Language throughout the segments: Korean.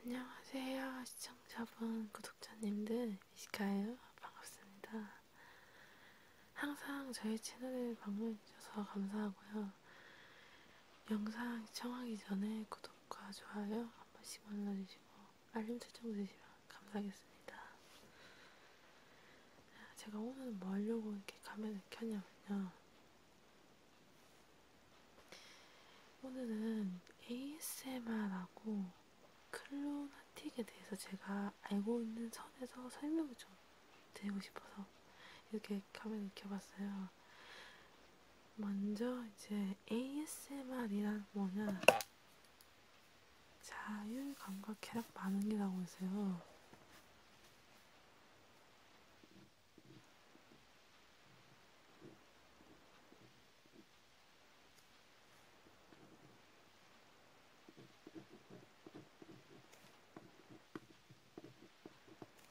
안녕하세요 시청자분 구독자님들 이시카예요 반갑습니다 항상 저희 채널을 방문해주셔서 감사하고요 영상 시청하기 전에 구독과 좋아요 한 번씩 눌러주시고 알림 설정 해주시면 감사하겠습니다. 제가 오늘은 뭐 하려고 이렇게 카메라를 켰냐면요. 오늘은 ASMR하고 클로나틱에 대해서 제가 알고 있는 선에서 설명을 좀 드리고 싶어서 이렇게 카메라를 켜봤어요. 먼저 이제 ASMR이란 뭐냐 자율감각 쾌락 반응이라고 해서요.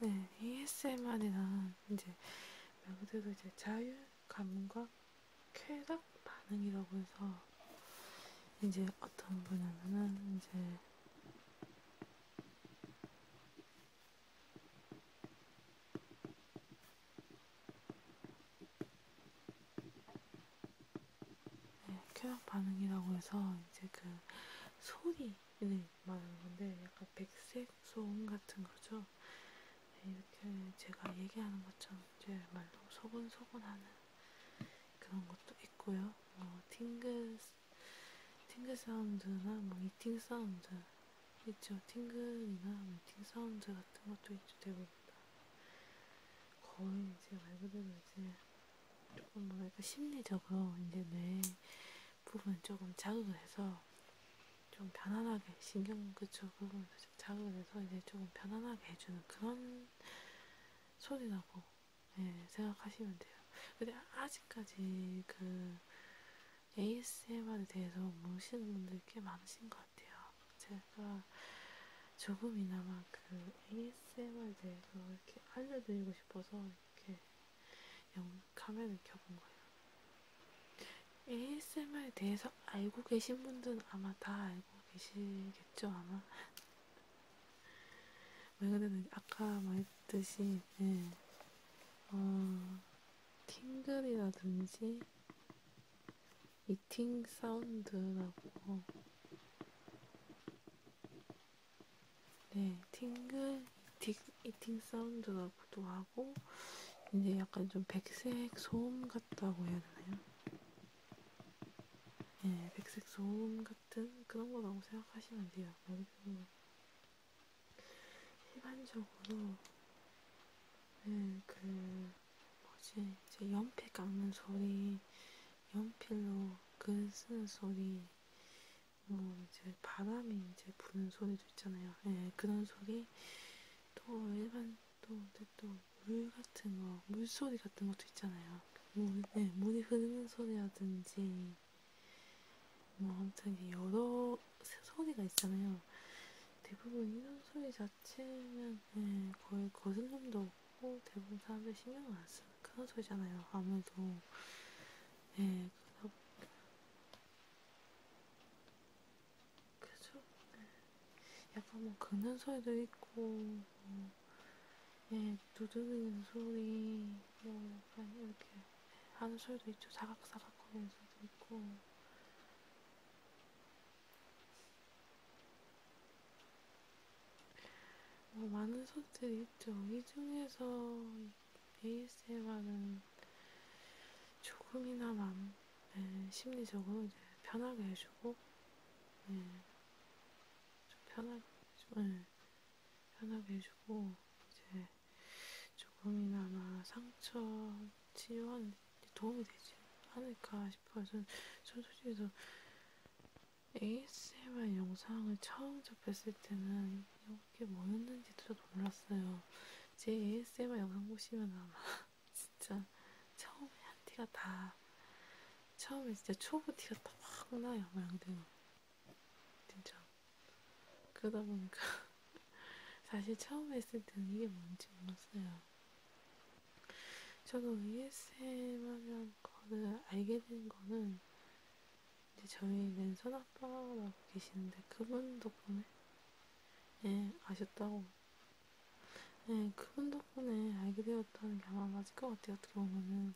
네, ASMR이란 이제 말 그대로 이제 자율 감각 쾌락 반응이라고 해서 이제 어떤 분야면은 이제 네, 쾌락 반응이라고 해서 이제 그 소리를 말하는 건데 약간 백색 소음 같은 거죠. 네, 이렇게 제가 얘기하는 것처럼 이제 말로 소곤소곤 하는 그런 것도 있고요. 뭐 팅글, 팅글 사운드나 뭐 이팅 사운드 있죠. 팅글이나 뭐, 이팅 사운드 같은 것도 있죠. 대부분 다. 거의 이제 말 그대로 이제 조금 뭐랄까 심리적으로 이제 뇌 부분 조금 자극을 해서 좀 편안하게 신경그쵸 그 부분을 자극을 해서 이제 조금 편안하게 해주는 그런 소리라고 예, 생각하시면 돼요. 근데 아직까지 그 ASMR에 대해서 모르시는 분들 꽤 많으신 것 같아요. 제가 조금이나마 그 ASMR에 대해서 이렇게 알려드리고 싶어서 이렇게 카메라를 켜본 거예요. ASMR에 대해서 알고 계신 분들은 아마 다 알고 계시겠죠, 아마. 왜 그러는 아까 말했듯이, 네. 어, 팅글이라든지, 미팅 사운드라고 네, 팅글 이팅, 이팅 사운드 나기도 하고 이제 약간 좀 백색 소음 같다고 해야 되나요? 네, 백색 소음 같은 그런 거라고 생각하시면 돼요. 그리고 일반적으로 네, 그 뭐지 이제 연필 깎는 소리, 연필로 글 쓰는 소리, 뭐 이제 바람이 이제 부는 소리도 있잖아요. 예, 그런 소리 또 일반 또또물 같은 거, 물 소리 같은 것도 있잖아요. 물, 네, 물이 흐르는 소리라든지 뭐 아무튼 여러 소리가 있잖아요. 대부분 이런 소리 자체는 예, 거의 거슬림도 없고 대부분 사람들 신경을 안 써요. 큰 소리잖아요. 아무래도 네, 그죠? 네. 약간 뭐 긁는 소리도 있고, 뭐, 예, 네, 두드리는 소리, 뭐 약간 이렇게 하는 소리도 있죠. 사각사각 거리는 소리도 있고. 뭐 많은 소들이 있죠. 이 중에서 ASMR은 조금이나마 네, 심리적으로 이제 편하게 해주고, 네, 좀 편하게, 해주고, 네, 편하게 해주고, 이제 조금이나마 상처 치유하는 데 도움이 되지 않을까 싶어요. 저는, 전 솔직히 저 ASMR 영상을 처음 접했을 때는 이게 뭐였는지도 몰랐어요. 제 ASMR 영상 보시면 아마 진짜 처음에 한 티가 다 처음에 진짜 초보 티가 다막 나요. 모양대로. 진짜. 그러다 보니까 사실 처음 했을 때는 이게 뭔지 몰랐어요. 저도 ASM 하면 거는 알게 된 거는 이제 저희 랜선 아빠라고 계시는데 그분 덕분에 예 아셨다고 예 그분 덕분에 알게 되었다는 게 아마 맞을 것 같아요 어떻게 보면은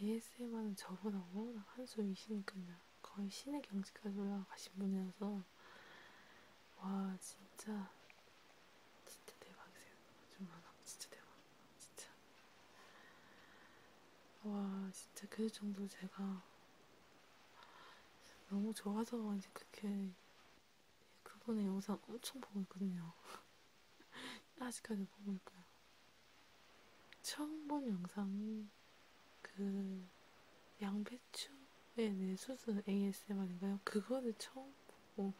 ASM 하는 저보다 워낙 한수 위시니까요 거의 신의 경지까지 올라가신 분이라서 와 진짜 진짜 대박이세요. 정말 진짜 대박. 진짜 와 진짜 그 정도 제가 너무 좋아서 이제 그렇게 그분의 영상 엄청 보고 있거든요. 아직까지 보고 있고요. 처음 본 영상이 그 양배 폐추의 뇌수술 네, 네, ASMR인가요? 그거를 처음 보고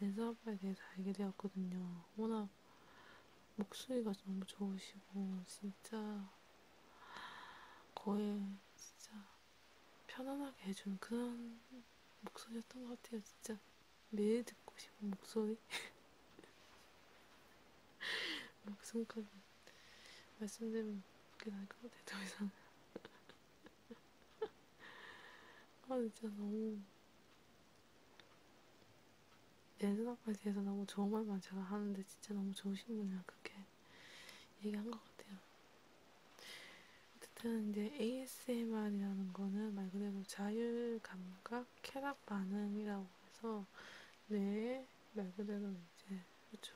랜선아빠에 대해서 알게 되었거든요. 워낙 목소리가 너무 좋으시고 진짜 거의 진짜 편안하게 해준 그런 목소리였던 것 같아요. 진짜 매일 듣고 싶은 목소리? 목숨까지 말씀드리면 그렇게 날것 같아요. 더 이상 아 진짜 너무 예전 아빠에 대해서 너무 좋은 말만 제가 하는데 진짜 너무 좋으신 분이라 그렇게 얘기한 것 같아요. 어쨌든 이제 ASMR이라는 거는 말 그대로 자율감각 쾌락 반응이라고 해서 뇌에 말 그대로 이제 그렇죠.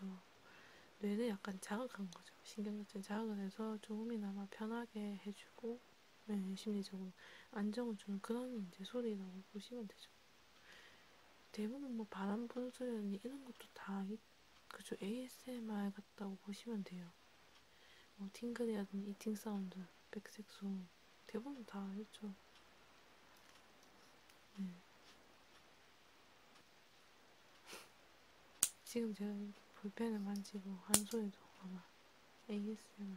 뇌는 약간 자극한 거죠. 신경같은 자극을 해서 조금이나마 편하게 해주고 네, 심리적으로 안정을 주는 그런 이제 소리라고 보시면 되죠. 대부분 뭐 바람 부는 소리라니 이런 것도 다 그죠 ASMR 같다고 보시면 돼요. 뭐 팅글이라든지 이팅 사운드, 백색 소음 대부분 다 있죠. 네. 지금 제가 볼펜을 만지고 한 소리도 아마 ASMR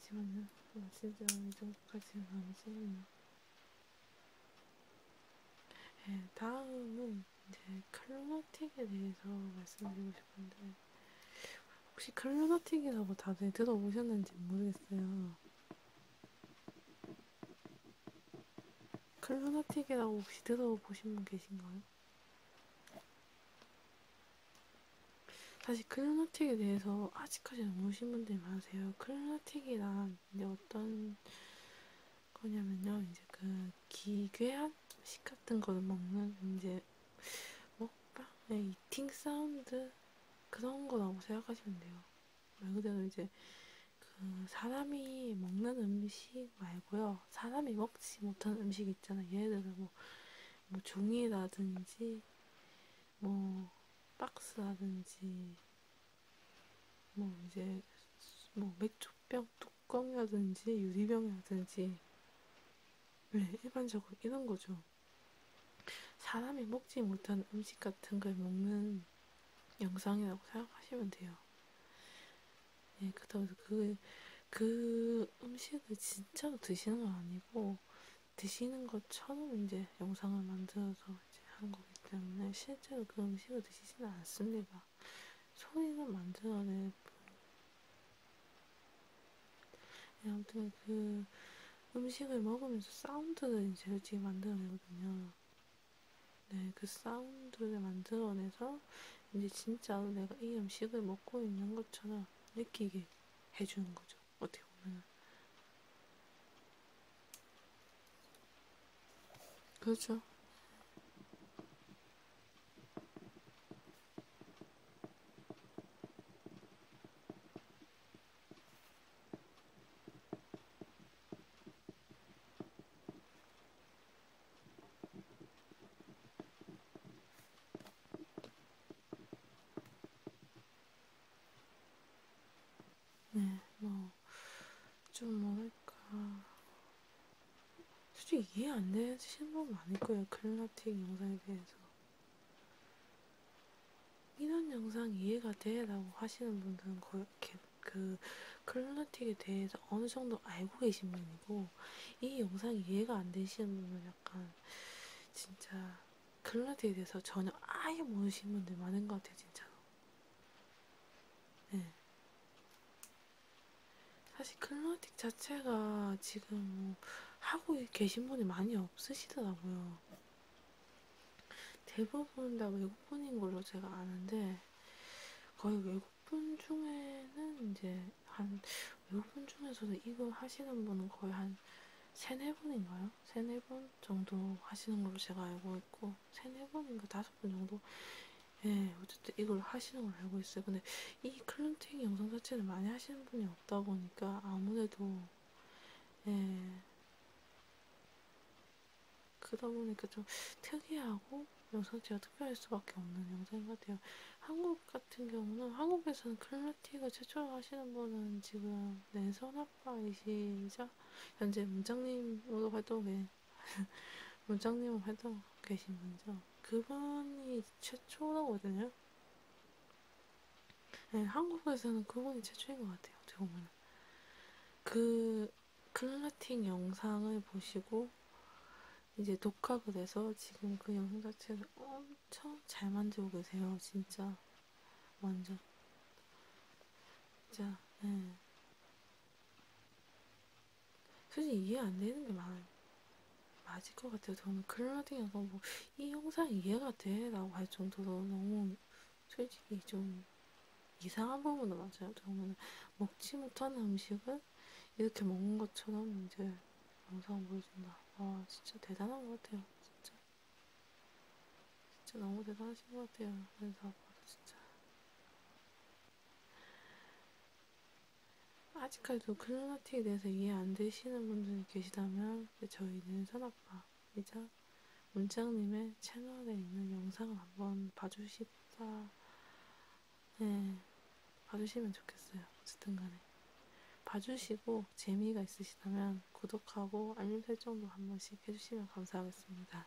하지만요 진짜 이 정도까지는 아니지만요 네, 예, 다음은 이제 클로노틱에 대해서 말씀드리고 싶은데 혹시 클로노틱이라고 다들 들어보셨는지 모르겠어요 클로나틱이랑 혹시 들어보신 분 계신가요? 사실 클로나틱에 대해서 아직까지 모르신 분들이 많으세요. 클로나틱이란 이제 어떤 거냐면요, 이제 그 기괴한 식 같은 거를 먹는 이제 먹방의 네, 이팅 사운드 그런 거라고 생각하시면 돼요. 말 그대로 이제 그 사람이 먹는 음식 말고요. 사람이 먹지 못한 음식 있잖아요. 예를 들어 뭐, 뭐 종이라든지 뭐 박스라든지 뭐 이제 뭐 맥주병 뚜껑이라든지 유리병이라든지 네, 일반적으로 이런 거죠. 사람이 먹지 못한 음식 같은 걸 먹는 영상이라고 생각하시면 돼요. 예, 그렇다고 해서 그, 그 음식을 진짜로 드시는 건 아니고, 드시는 것처럼 이제 영상을 만들어서 이제 한 거기 때문에 실제로 그 음식을 드시지는 않습니다. 소리를 만들어낼 뿐. 예, 아무튼 그 음식을 먹으면서 사운드를 이제 솔직히 만들어내거든요. 네, 그 사운드를 만들어내서 이제 진짜로 내가 이 음식을 먹고 있는 것처럼 느끼게 해주는 거죠. 어떻게 보면. 그렇죠. 네, 뭐, 좀 뭐랄까. 솔직히 이해 안 되시는 분 많을 거예요. 클라틱 영상에 대해서. 이런 영상 이해가 되라고 하시는 분들은 그렇게 그 클로틱에 대해서 어느 정도 알고 계신 분이고 이 영상 이해가 안 되시는 분은 약간 진짜 클로틱에 대해서 전혀 아예 모르시는 분들 많은 것 같아요 진짜로. 네. 사실 클로틱 자체가 지금 뭐 하고 계신 분이 많이 없으시더라고요. 대부분 다 외국분인 걸로 제가 아는데 거의 외국분 중에는 이제 한 외국분 중에서도 이거 하시는 분은 거의 한 세네 분인가요? 세네 분 정도 하시는 걸로 제가 알고 있고 세네 분인가 다섯 분 정도 예 어쨌든 이걸 하시는 걸 알고 있어요. 근데 이 클렌징 영상 자체를 많이 하시는 분이 없다 보니까 아무래도 예 그러다 보니까 좀 특이하고 영상체가 특별할 수밖에 없는 영상인 것 같아요. 한국 같은 경우는 한국에서는 클라티가 최초로 하시는 분은 지금 내선아빠이시자 네, 현재 문장님으로 활동해 문장님으로 활동 계신 분이죠. 그분이 최초라고 하잖아요. 네, 한국에서는 그분이 최초인 것 같아요. 어떻게 보면 그 클라팅 영상을 보시고 이제 독학을 해서 지금 그 영상 자체를 엄청 잘 만들고 계세요. 진짜 완전 진짜 네. 솔직히 이해 안 되는 게 많아요. 맞을 것 같아요. 저는 클라우딩이 너무 뭐 이 영상 이해가 돼? 라고 할 정도로 너무 솔직히 좀 이상한 부분도 맞아요. 저는 먹지 못하는 음식을 이렇게 먹는 것처럼 이제 영상 보여준다. 아 진짜 대단한 것 같아요. 진짜 진짜 너무 대단하신 것 같아요. 그래서 진짜 아직까지도 클로나틱에 대해서 이해 안 되시는 분들이 계시다면 저희는 선아빠이자 문장님의 채널에 있는 영상을 한번 봐주시다 네, 봐주시면 좋겠어요. 어쨌든 간에 봐주시고 재미가 있으시다면 구독하고 알림 설정도 한 번씩 해주시면 감사하겠습니다.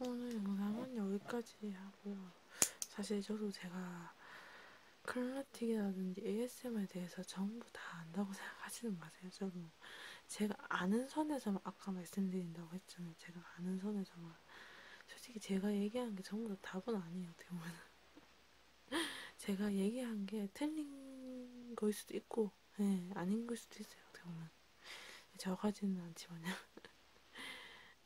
오늘 영상은 여기까지 하고요. 사실 저도 제가 클라틱이라든지 ASMR에 대해서 전부 다 안다고 생각하지는 마세요. 저도 제가 아는 선에서만 아까 말씀드린다고 했잖아요. 제가 아는 선에서만 솔직히 제가 얘기한 게 전부 다 답은 아니에요. 어떻게 보면 제가 얘기한 게 틀린 거일 수도 있고 예, 네, 아닌 걸 수도 있어요. 어떻게 보면. 저가지는 않지만요.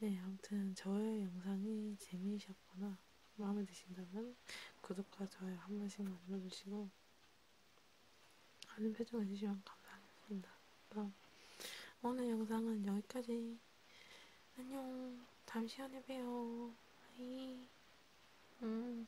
네, 아무튼 저의 영상이 재미있었거나 마음에 드신다면 구독과 좋아요 한 번씩만 눌러주시고 많은 표정 해주시면 감사하겠습니다. 그럼 오늘 영상은 여기까지. 안녕. 다음 시간에 봬요. 아이. 음.